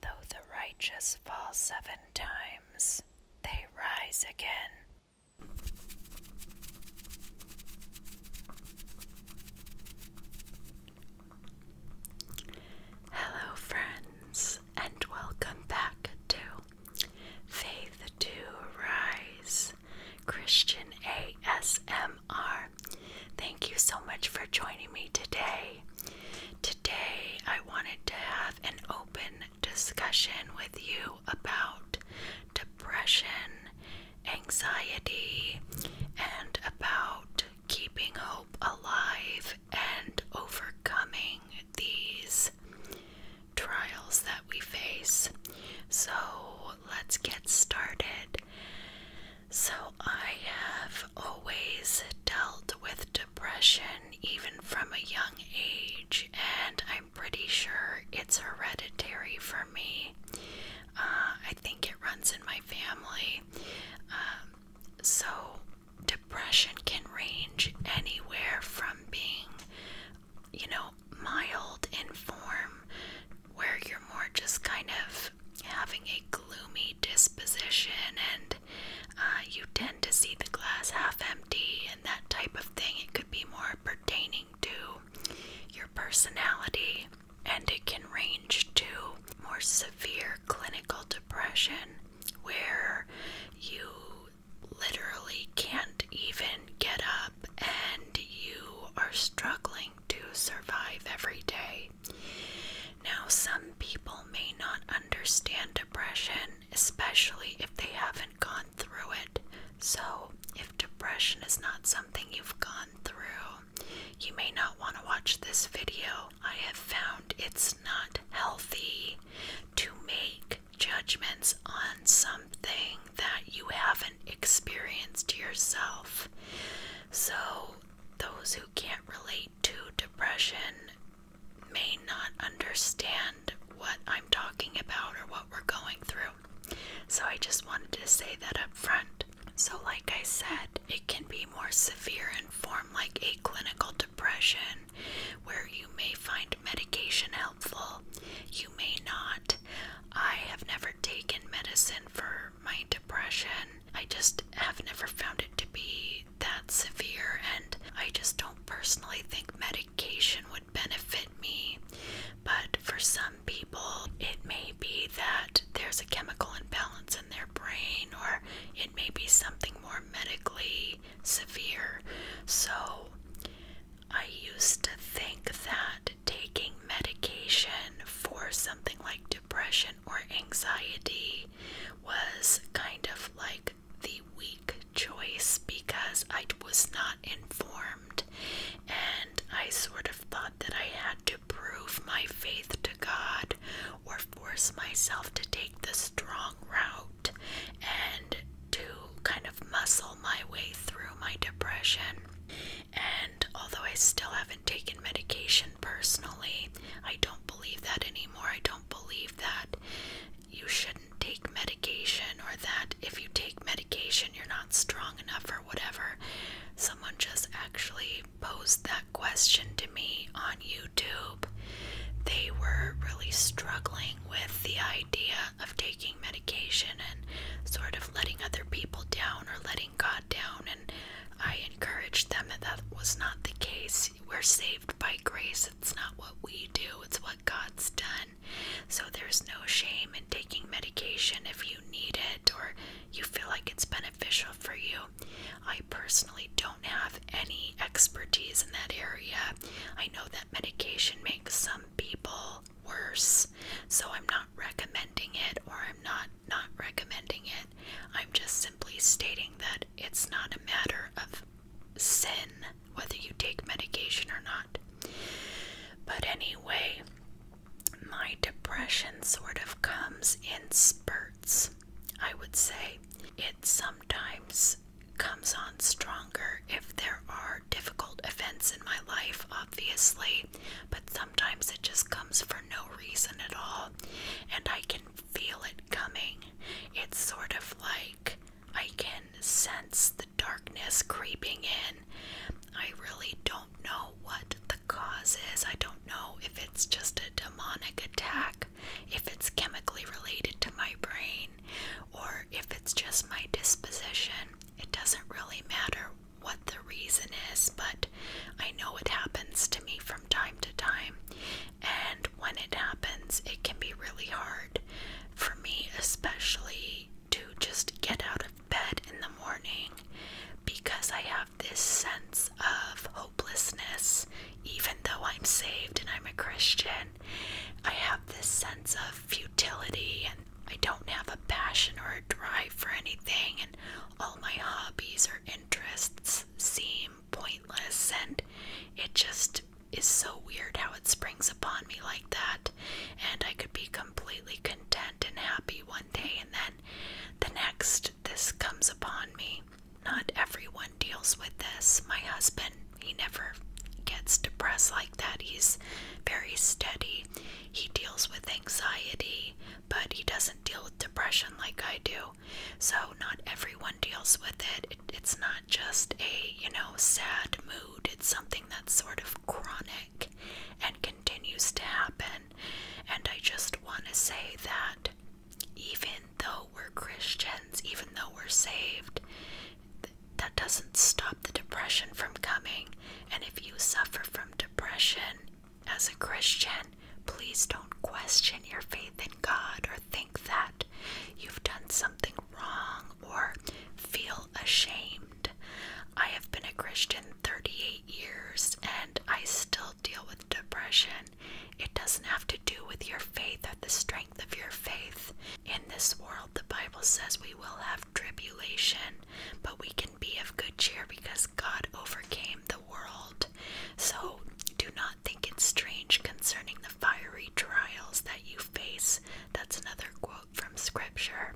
Though the righteous fall seven times, they rise again. Hello, friends, and welcome back to Faith to Rise Christian ASMR. Thank you so much for joining me today. Today, I wanted to have an open discussion with you about depression, anxiety, and about keeping hope alive and overcoming these trials that we face. So, let's get started. So I have always dealt with depression even from a young age, and I'm pretty sure it's hereditary for me. Uh, I think it runs in my family. Um, so, depression can range anywhere from being, you know, mild in form, where you're more just kind of having a gloomy disposition and uh, you tend to see the glass half empty and that type of thing. It could be more pertaining to your personality, and it can range to more severe clinical depression where you literally can't even get up and you are struggling to survive every day. Now, some people may not understand depression, especially if they haven't gone through it. So, if depression is not something you've gone through, you may not want to watch this video. I have found it's not healthy to make judgments on something that you haven't experienced yourself. So, those who who can't relate to depression may not understand what I'm talking about or what we're going through. So I just wanted to say that up front. So, like I said, it can be more severe and form, like a clinical depression, where you may find medication helpful, you may not. I have never taken medicine for my depression, I just have never found it to be that severe, and I just don't personally think medication would benefit me. But for some people, it may be that there's a chemical imbalance in their brain, or it may be something more medically severe. So I used to think that taking medication for something like depression or anxiety was kind of like the weak choice because I was not informed and I sort of thought that I had to prove my faith to God or force myself to take the strong route and to kind of muscle my way through my depression. And although I still haven't taken medication personally. I don't believe that anymore. I don't believe that you shouldn't take medication or that if you take medication, you're not strong enough or whatever. Someone just actually posed that question to me on YouTube. They were really struggling with the idea of taking medication and sort of letting other people down or letting God down I encouraged them that that was not the case. We're saved by grace. It's not what we do, it's what God's done. So there's no shame in taking medication if you need it or you feel like it's beneficial for you. I personally don't have any expertise in that area. I know that medication makes some people worse, so I'm not recommending it or I'm not not recommending it. I'm just simply stating that it's not a matter of sin whether you take medication or not. But anyway, my depression sort of comes in spurts, I would say. It sometimes comes on stronger if there are difficult events in my life, obviously, but sometimes it just comes for no reason at all, and I can feel it coming. It's sort of like I can sense the darkness creeping in. I really don't know what the cause is. I don't know if it's just a demonic attack, if it's chemically related to my brain, or if it's just my disposition. It doesn't really matter what the reason is, but I know it happens to me from time to time, and when it happens, it can be really hard for me, especially to just get out of bed in the morning because I have this sense of hopelessness, even though I'm saved and I'm a Christian. I have this sense of futility and I don't have a passion or a drive for anything, and all my hobbies or interests seem pointless and it just is so weird how it springs upon me like that and I could be completely content and happy one day and then the next this comes upon me. Not everyone deals with this. My husband, he never gets depressed like that. He's very steady. He deals with anxiety, but he doesn't deal with depression like I do. So not everyone deals with it. It's not just a, you know, sad mood. It's something that's sort of chronic and continues to happen. And I just want to say that even though we're Christians, even though we're saved, that doesn't stop the depression from coming. And if you suffer from depression, as a Christian, please don't question your faith in God or think that you've done something wrong or feel ashamed. I have been a Christian 38 years and I still deal with depression. It doesn't have to do with your faith or the strength of your faith. In this world, the Bible says we will have tribulation, but we can be of good cheer because God overcame the world. So do not think it strange concerning the fiery trials that you face. That's another quote from Scripture.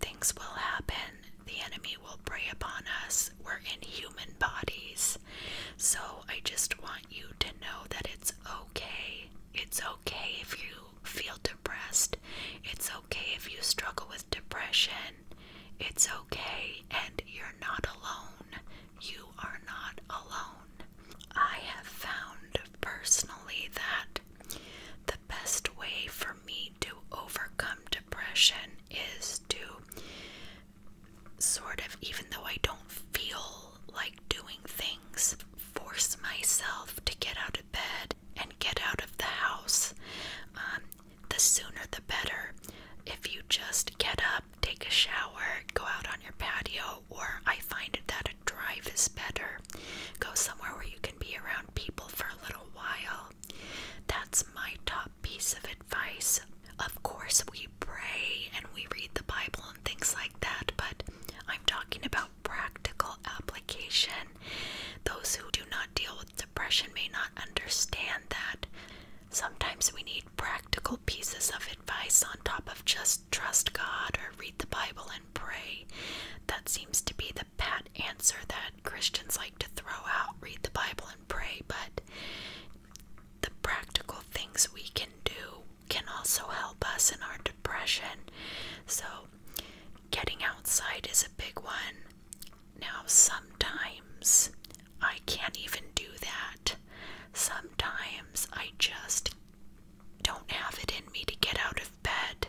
Things will happen, the enemy will prey upon us. We're in human bodies. So I just want you to know that it's okay. It's okay if you feel depressed. It's okay if you struggle with depression. It's okay and you're not alone. You are not alone. I have found personally that the best way for me to overcome depression is to sort of, even though I don't feel like doing things, force myself to get out of bed and get out of the house. Um, the sooner the better. If you just get up, take a shower, go out on your patio, or I find that a drive is better. Go somewhere where you can be around people for a little while. That's my top piece of advice. Of course, we pray and we read the Bible and things like that, but I'm talking about practical application. Those who do not deal with depression may not understand that. Sometimes we need practical pieces of advice on top of just trust God or read the Bible and pray. That seems to be the pat answer that Christians like to throw out read the Bible and pray, but the practical things we can do can also help us in our depression. So, getting outside is a big one. Now, sometimes I can't even do that. Sometimes I just don't have it in me to get out of bed.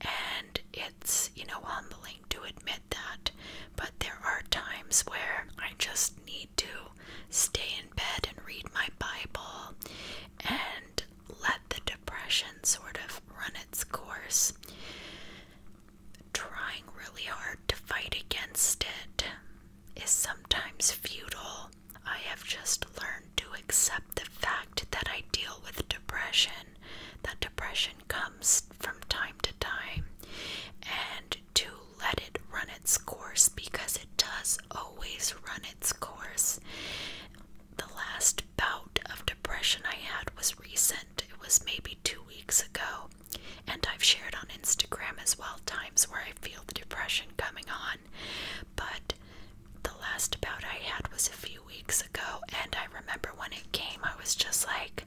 And it's, you know, humbling to admit that. But there are times where I just need to stay in bed and read my Bible and let the depression sort of run its course trying really hard to fight against it is sometimes futile. I have just learned to accept the fact that I deal with depression, that depression comes from time to time, and to let it run its course because it does always run its course. The last bout of depression I had was recent, it was maybe two weeks ago, and I've shared on Instagram as well times where I feel the depression coming on. But the last bout I had was a few weeks ago, and I remember when it came, I was just like,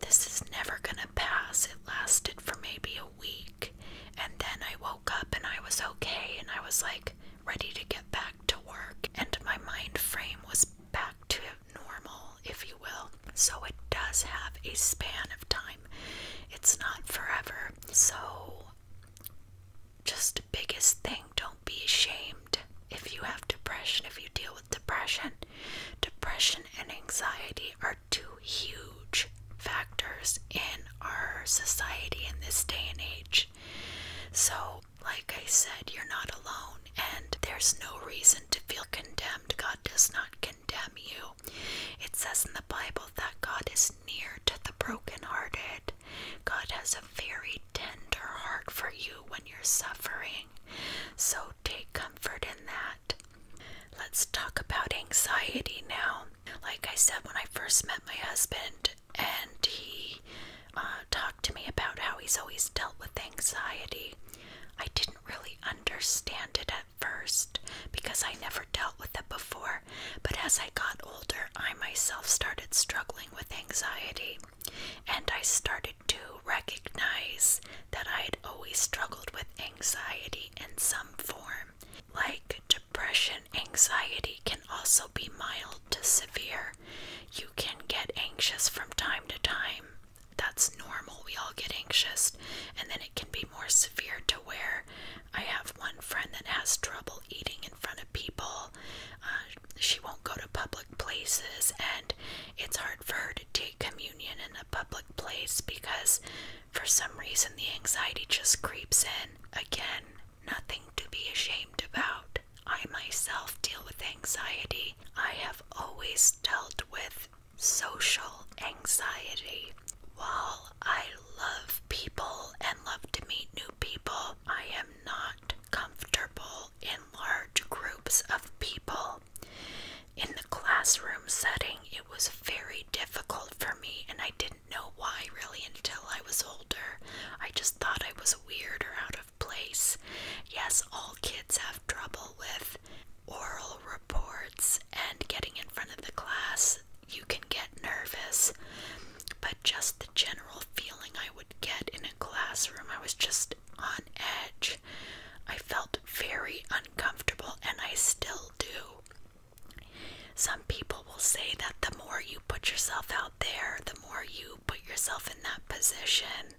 this is never gonna pass. It lasted for maybe a week, and then I woke up and I was okay, and I was like ready to get back to work, and my mind frame was back to normal, if you will. So it does have a span of time, it's not forever. So, just biggest thing don't be ashamed if you have depression, if you deal with depression. Depression and anxiety are two huge factors in our society in this day and age. So, like I said, you're not alone, and there's no reason to feel condemned. God God does not condemn you. It says in the Bible that God is near to the brokenhearted. God has a very tender heart for you when you're suffering. So take comfort in that. Let's talk about anxiety now. Like I said, when I first met my husband, and he uh, talked to me about how he's always dealt with anxiety. I didn't really understand it at first because I never dealt with it before, but as I got older, I myself started struggling with anxiety and I started to recognize that I had always struggled with anxiety in some form. Like depression, anxiety can also be mild to severe. You can get anxious from time to time that's normal. We all get anxious, and then it can be more severe to where I have one friend that has trouble eating in front of people. Uh, she won't go to public places, and it's hard for her to take communion in a public place because for some reason the anxiety just creeps in. Again, nothing to be ashamed about. I myself deal with anxiety. I have always dealt with social anxiety. While I love people and love to meet new people, I am not comfortable in large groups of people. In the classroom setting, it was very difficult for me, and I didn't know why really until I was older. I just thought I was weird or out of place. Yes, all kids have trouble with oral reports and getting in front of the class, you can get nervous. But just the general feeling I would get in a classroom, I was just on edge. I felt very uncomfortable, and I still do. Some people will say that the more you put yourself out there, the more you put yourself in that position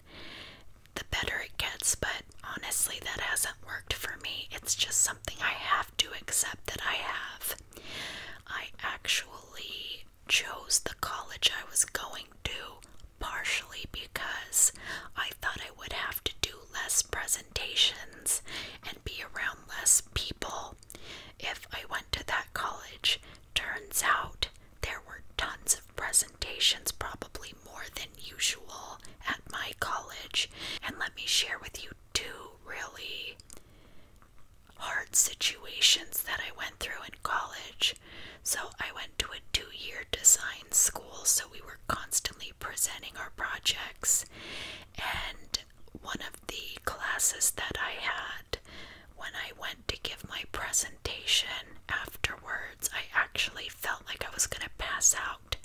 the better it gets, but honestly, that hasn't worked for me. It's just something I have to accept that I have. I actually chose the college I was going to partially because I thought I would have to do less presentations and be around less people if I went to that college. Turns out there were tons of of presentations, probably more than usual, at my college. And let me share with you two really hard situations that I went through in college. So, I went to a two year design school, so we were constantly presenting our projects. And one of the classes that I had when I went to give my presentation afterwards, I actually felt like I was going to pass out,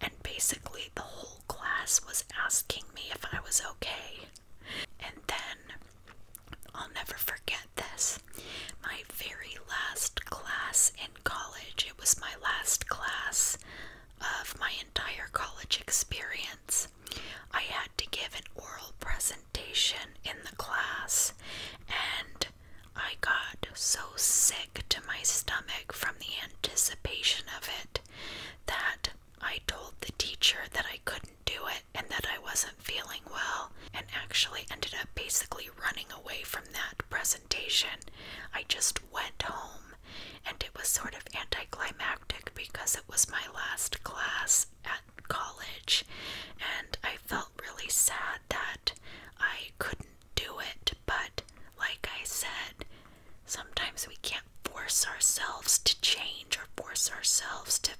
and basically, the whole class was asking me if I was okay. And then I'll never forget this. My very last class in college, it was my last class of my entire college experience. I had to give an oral presentation in the class, and I got so sick to my stomach from the anticipation of it that I told the teacher that I couldn't do it and that I wasn't feeling well, and actually ended up basically running away from that presentation. I just went home, and it was sort of anticlimactic because it was my last class at college, and I felt really sad that I couldn't do it, but like I said, sometimes we can't force ourselves to change or force ourselves to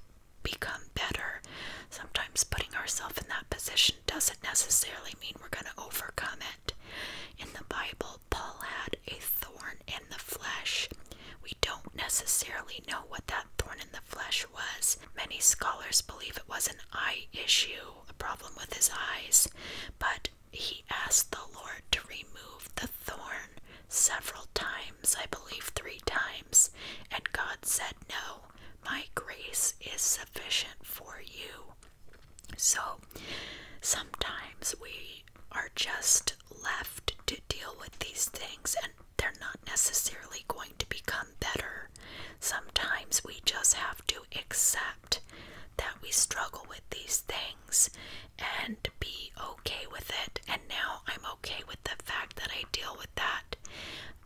become better. Sometimes putting ourselves in that position doesn't necessarily mean we're going to overcome it. In the Bible, Paul had a thorn in the flesh. We don't necessarily know what that thorn in the flesh was. Many scholars believe it was an eye issue a problem with his eyes, but he asked the Lord to remove the thorn several times, I believe three times, and God said, No, my grace is sufficient for you. So sometimes we are just left to deal with these things, and they're not necessarily going to become better. Sometimes we just have to accept that we struggle with these things and be okay with it. And now I'm okay with the fact that I deal with that.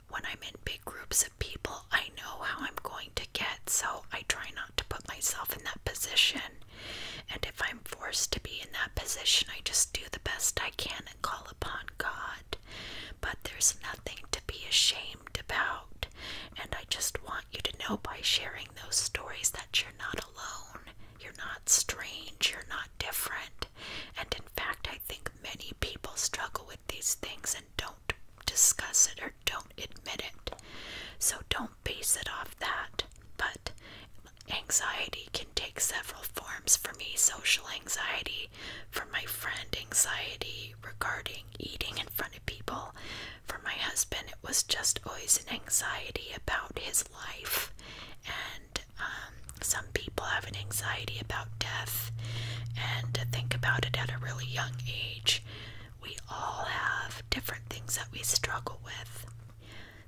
When I'm in big groups of people, I know how I'm going to get, so I try not to put myself in that position. And if I'm forced to be in that position, I just do the best I can and call upon God but there's nothing to be ashamed about. And I just want you to know by sharing those stories that you're not alone, you're not strange, you're not different. And in fact, I think many people struggle with these things and don't discuss it or don't admit it. So don't base it off that. But anxiety can take several forms for me social anxiety, for my friend, anxiety regarding eating in front of people. For my husband, it was just always an anxiety about his life, and um, some people have an anxiety about death. And to think about it at a really young age, we all have different things that we struggle with.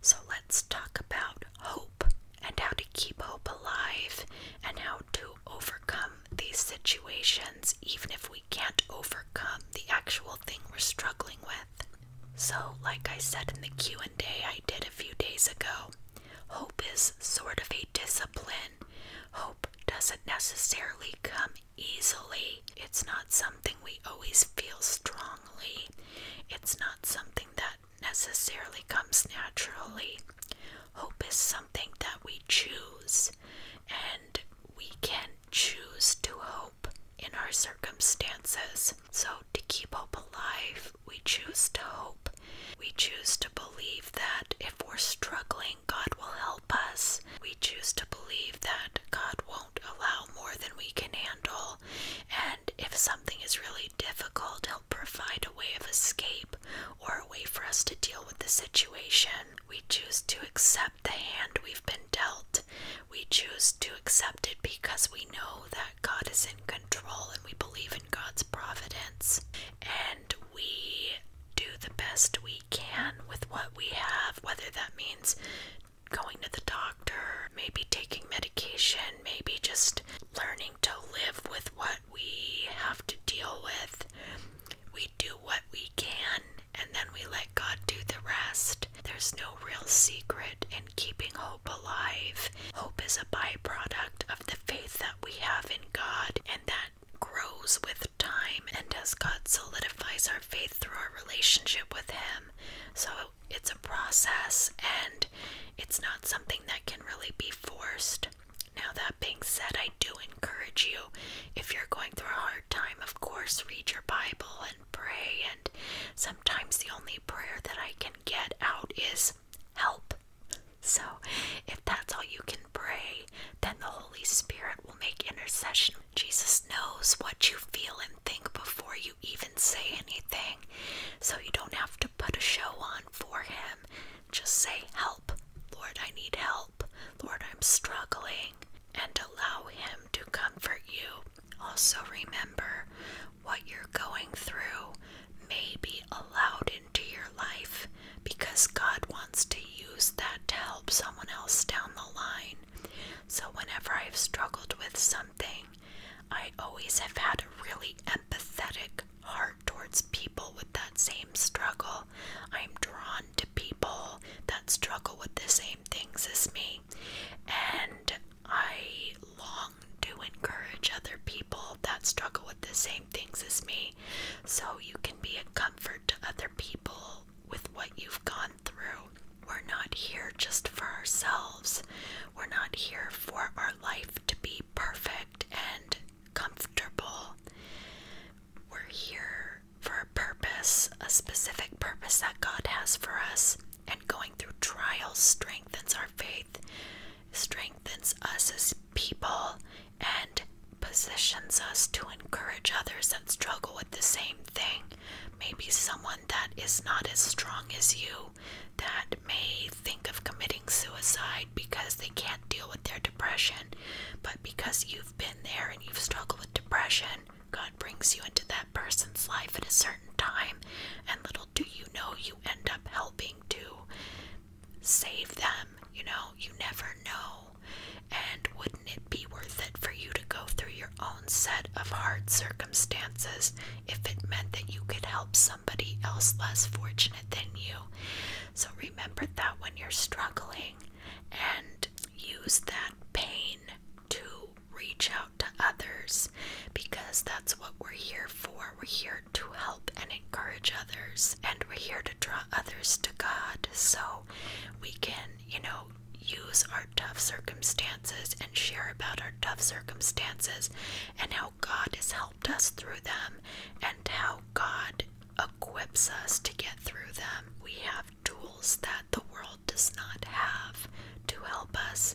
So let's talk about hope and how to keep hope alive and how to overcome these situations even if we can't overcome the actual thing we're struggling with. So, like I said in the Q&A I did a few days ago, hope is sort of a discipline. Hope doesn't necessarily come easily. It's not something we always feel strongly. It's not something that necessarily comes naturally. Hope is something that we choose, and we can choose to hope in our circumstances. So, to keep hope alive, we choose to hope. We choose to believe that if we're struggling, God will help us. We choose to believe that God won't allow more than we can handle. And if something is really difficult, provide a way of escape or a way for us to deal with the situation. We choose to accept the hand we've been dealt. We choose to accept it because we know that God is in control and we believe in God's providence. And we do the best we can with what we have, whether that means going to the doctor, maybe taking medication, maybe just learning to live with what we have to deal with. We do what we can and then we let God do the rest. There's no real secret in keeping hope alive. Hope is a byproduct of the faith that we have in God and that grows with time and as God solidifies our faith through our relationship with Him. So it's a process and it's not something that can really be forced. Now, that being said, I do encourage you, if you're going through a hard time, of course, read your Bible and pray. And sometimes the only prayer that I can get out is help. So, if that's all you can pray, then the Holy Spirit will make intercession. Jesus knows what you feel and think before you even say anything, so you don't have to put a show on for Him. Just say, Help, Lord, I need help. Lord, I'm struggling. And allow Him to comfort you. Also, remember what you're going through may be allowed into your life because God wants to use that to help someone else down the line. So, whenever I've struggled with something, I always have had a really empathetic heart towards people with that same struggle. I'm drawn to people that struggle with the same things as me. And I long to encourage other people that struggle with the same things as me so you can be a comfort to other people with what you've gone through. We're not here just for ourselves. We're not here for our life to be perfect and comfortable. We're here for a purpose, a specific purpose that God has for us, and going through trials strengthens our faith, strengthens us as people, and positions us to encourage others that struggle with the same thing. Maybe someone that is not as strong as you that may think of committing suicide because they can't deal with their depression. But because you've been there and you've struggled with depression, God brings you into that person's life at a certain time, and little do you know, you end up helping to save them. You know, you never know. And wouldn't it be worth it for you to go through your own set of hard circumstances if it meant that you could help somebody else less fortunate than you? So remember that when you're struggling and use that pain to reach out to others because that's what we're here for. We're here to help and encourage others, and we're here to draw others to God so we can, you know, use our tough circumstances and share about our tough circumstances and how God has helped us through them and how God equips us to get through them. We have tools that the world does not have to help us,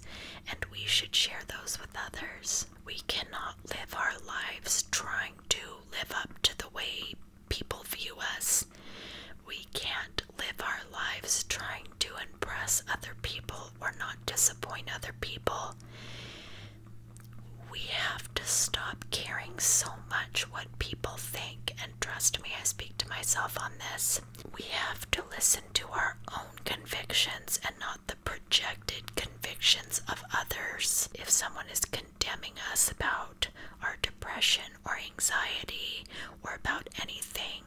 and we should share those with others. We cannot live our lives trying to live up to the way people view us. We can't live our lives trying to impress other people or not disappoint other people we have to stop caring so much what people think, and trust me, I speak to myself on this. We have to listen to our own convictions and not the projected convictions of others. If someone is condemning us about our depression or anxiety or about anything,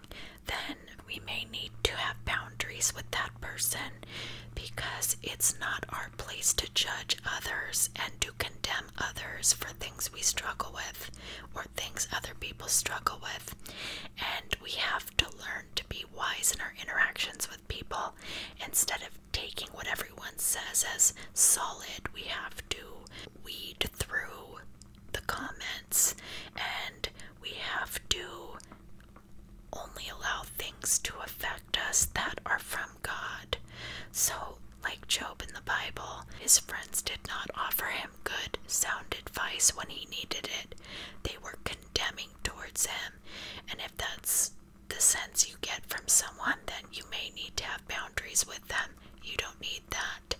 then we may need to have boundaries with that person because it's not our place to judge others and to condemn others for things we struggle with or things other people struggle with. And we have to learn to be wise in our interactions with people. Instead of taking what everyone says as solid, we have to weed through the comments and we have to only allow things to affect us that are from God. So, like Job in the Bible, his friends did not offer him good, sound advice when he needed it. They were condemning towards him. And if that's the sense you get from someone, then you may need to have boundaries with them. You don't need that.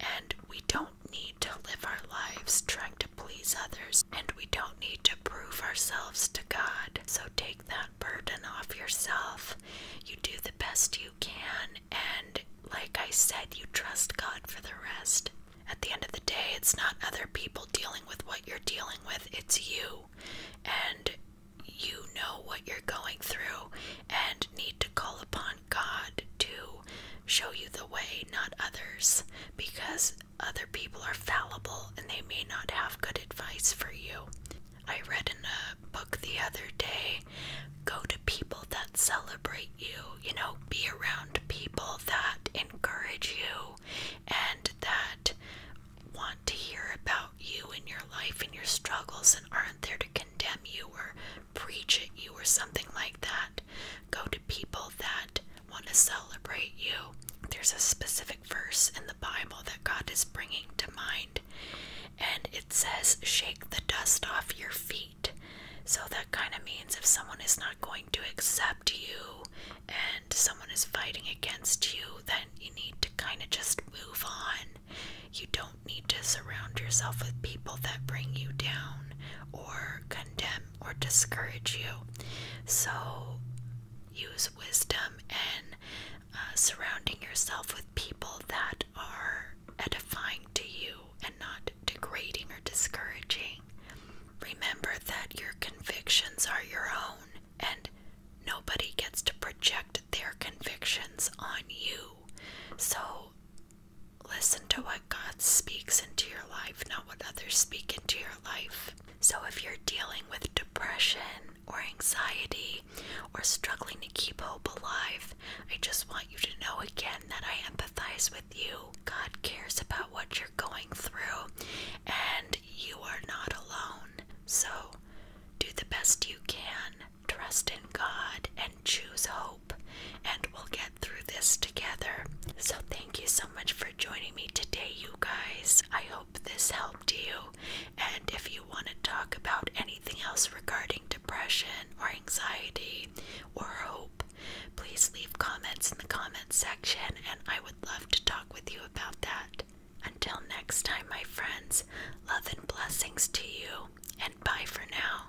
And we don't need to live our lives trying to please others, and we don't need to prove ourselves to God. So take that burden off yourself. You do the best you can, and like I said, you trust God for the rest. At the end of the day, it's not other people dealing with what you're dealing with, it's you. And you know what you're going through and need to call upon God to show you the way, not others. Because other people are fallible and they may not have good advice for you. I read in a book the other day go to people that celebrate you, you know, be around people that encourage you and that want to hear about you and your life and your struggles and aren't there to condemn you or preach at you or something like that. Go to people that want to celebrate you. There's a specific verse in the Bible that God is bringing to mind. And it says, shake the dust off your feet. So that kind of means if someone is not going to accept you and someone is fighting against you, then you need to kind of just move on. You don't need to surround yourself with people that bring you down or condemn or discourage you. So use wisdom and uh, surrounding yourself with people that are edifying to you and not degrading or discouraging. Remember that your convictions are your own and nobody gets to project their convictions on you. So listen to what God speaks into your life, not what others speak into your life. So, if you're dealing with depression or anxiety or struggling to keep hope alive, I just want you to know again that I empathize with you. God cares about what you're going through, and you are not alone. So, do the best you can, trust in God, and choose hope, and we'll get through this together. So, thank you so much for joining me today, you guys. I hope this helped you. And if you want to talk about anything else regarding depression or anxiety or hope, please leave comments in the comments section and I would love to talk with you about that. Until next time, my friends, love and blessings to you, and bye for now.